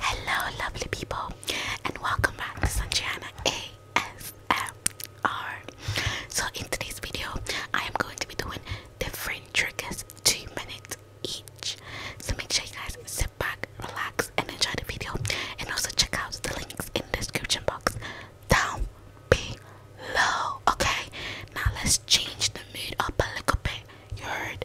Hello, lovely people, and welcome back to Sanjiana ASMR. So, in today's video, I am going to be doing different triggers Two minutes each. So make sure you guys sit back, relax, and enjoy the video. And also check out the links in the description box down below. Okay, now let's change the mood up a little bit. You heard?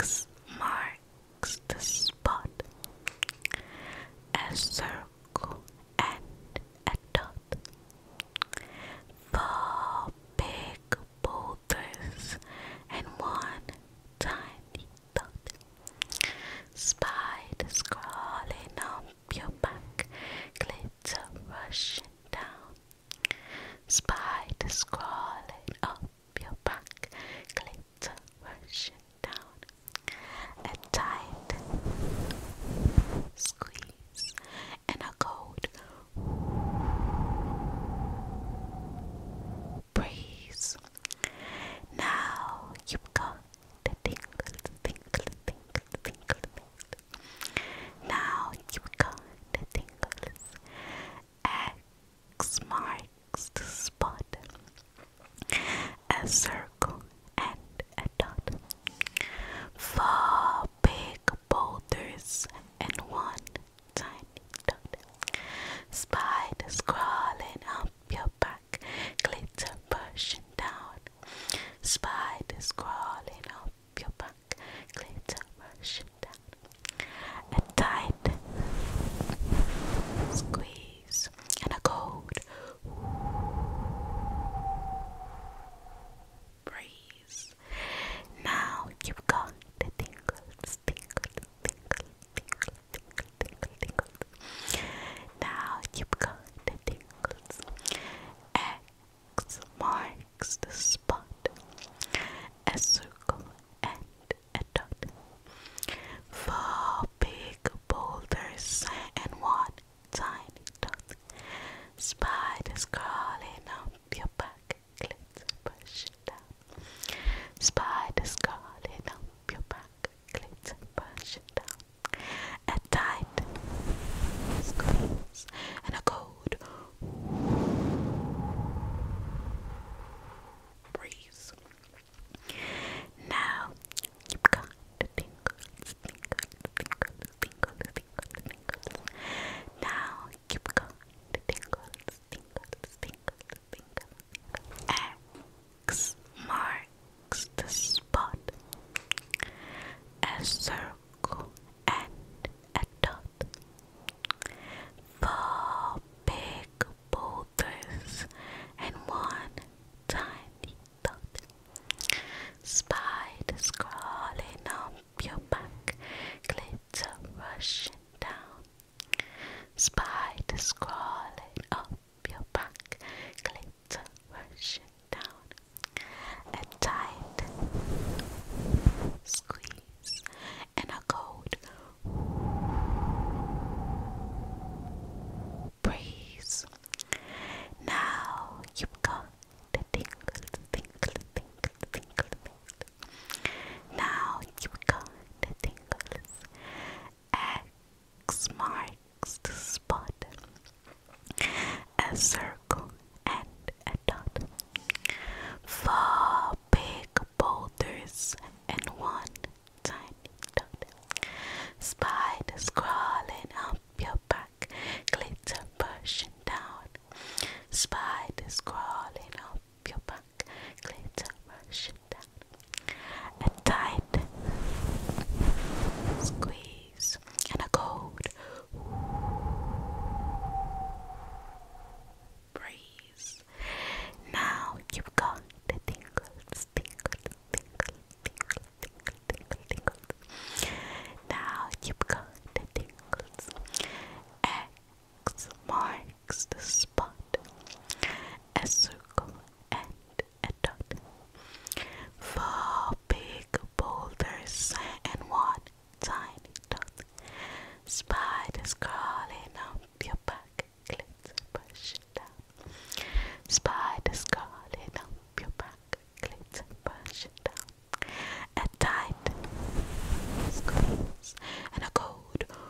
X marks the spot. A circle and a dot. Four big boulders and one tiny dot. Spiders crawling up your back, glitter rushing down. Spiders crawling up your back, glitter rushing down. A tight squeeze and a cold breeze. Now you've got the tingle, tingle, tingle, tingle, tingle. Now you've got the tingles. X marks the spot. A circle and a dot. Four big boulders and one tiny dot. Spider crawling up up your back, glitter pushing down. Spiders crawling up your back, glitter rushing down. A tight squeeze and a cold breeze. Now you've got the tingles, tingles, tingles, tingles, now you've got the tingles. X marks the spot. A circle and a dot. Four big boulders and one tiny dot. Spiders crawling up your back. Spiders crawling up your back, glitter punching down. At tight squeeze and a cold breeze. Now you've got the tingles, tingles, tingles, tingles, tingles, tingles. Now you've got the tingles, tingles, tingles, pink. X marks the spot. A circle and a dot. Four big boulders and one tiny dot. Spiders crawling up your back, glitter rushing down Spider crawling up your back, glitter rushing down. A tight squeeze and a cold breeze. Now you've got the tingle, tingle, tingle, now you got the tingles. X marks the spot. A circle and a dot. Four big boulders and one tiny dot. Spiders crawling up your back, glitter pushing down. Spiders crawling up your back, back, glitter rushing down. A tight squeeze and a cold breeze. Now you've got the tingles, tingles, tingles, tingles, tingles, tingles, tingles. Now you've got the tingles. X marks the spot. A circle and a dot. Four big boulders and one tiny dot. Spiders crawling up your back. Click push down. Spiders crawling up your back. Click push down. A tight squeeze and a cold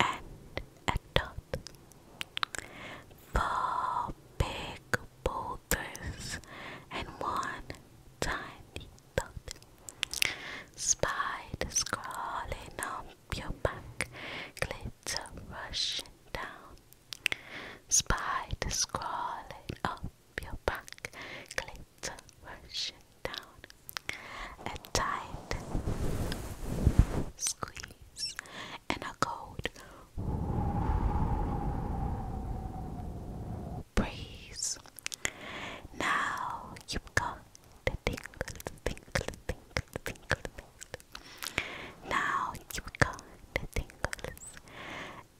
and a dot. Four big boulders and one tiny dot. Spiders crawling up your back, glitter rushing down. Spiders crawling up your back, glitter rushing down. A tight squeeze and a cold breeze. Now you've got the tingle, tingle, tingle, tingle, tingle. Now you've got the tingles.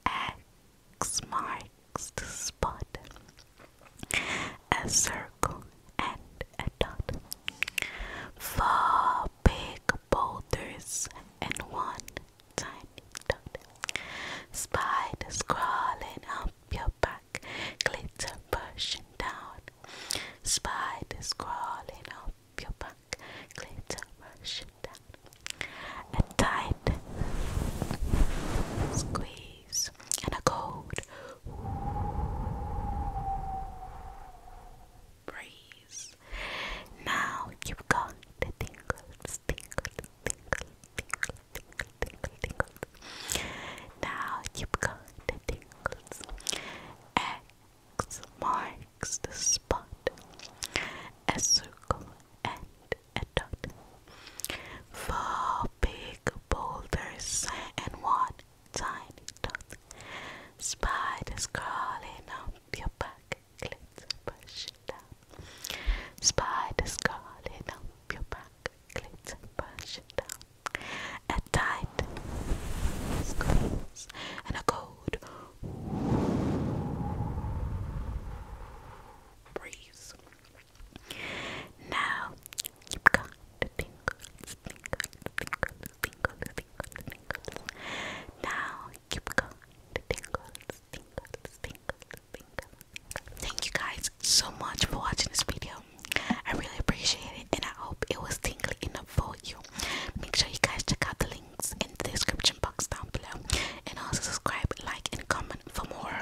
X marks the spot a circle, and a dot. Four big boulders and one tiny dot. Spiders crawling up your back, glitter pushing down. Spiders crawling up your back, glitter pushing down. A tight squeeze and a code. breeze. Now you've got the tingles, Now you've got the tingles. X marks the spot. A circle and a dot. Four big boulders and one tiny dot. Spiders crawling up your back, clips push down. Spiders crawling up your back, clips push down. A tight squeeze and a cold breeze. Now you've got the tingles, tingles, tingles, tingles, Now you've got the tingles, tingles, tingles, tingles. Thank you guys so much for watching this video. I really appreciate it, and I hope it was tingly enough for you. Make sure you guys check out the links in the description box down below, and also subscribe, like, and comment for more.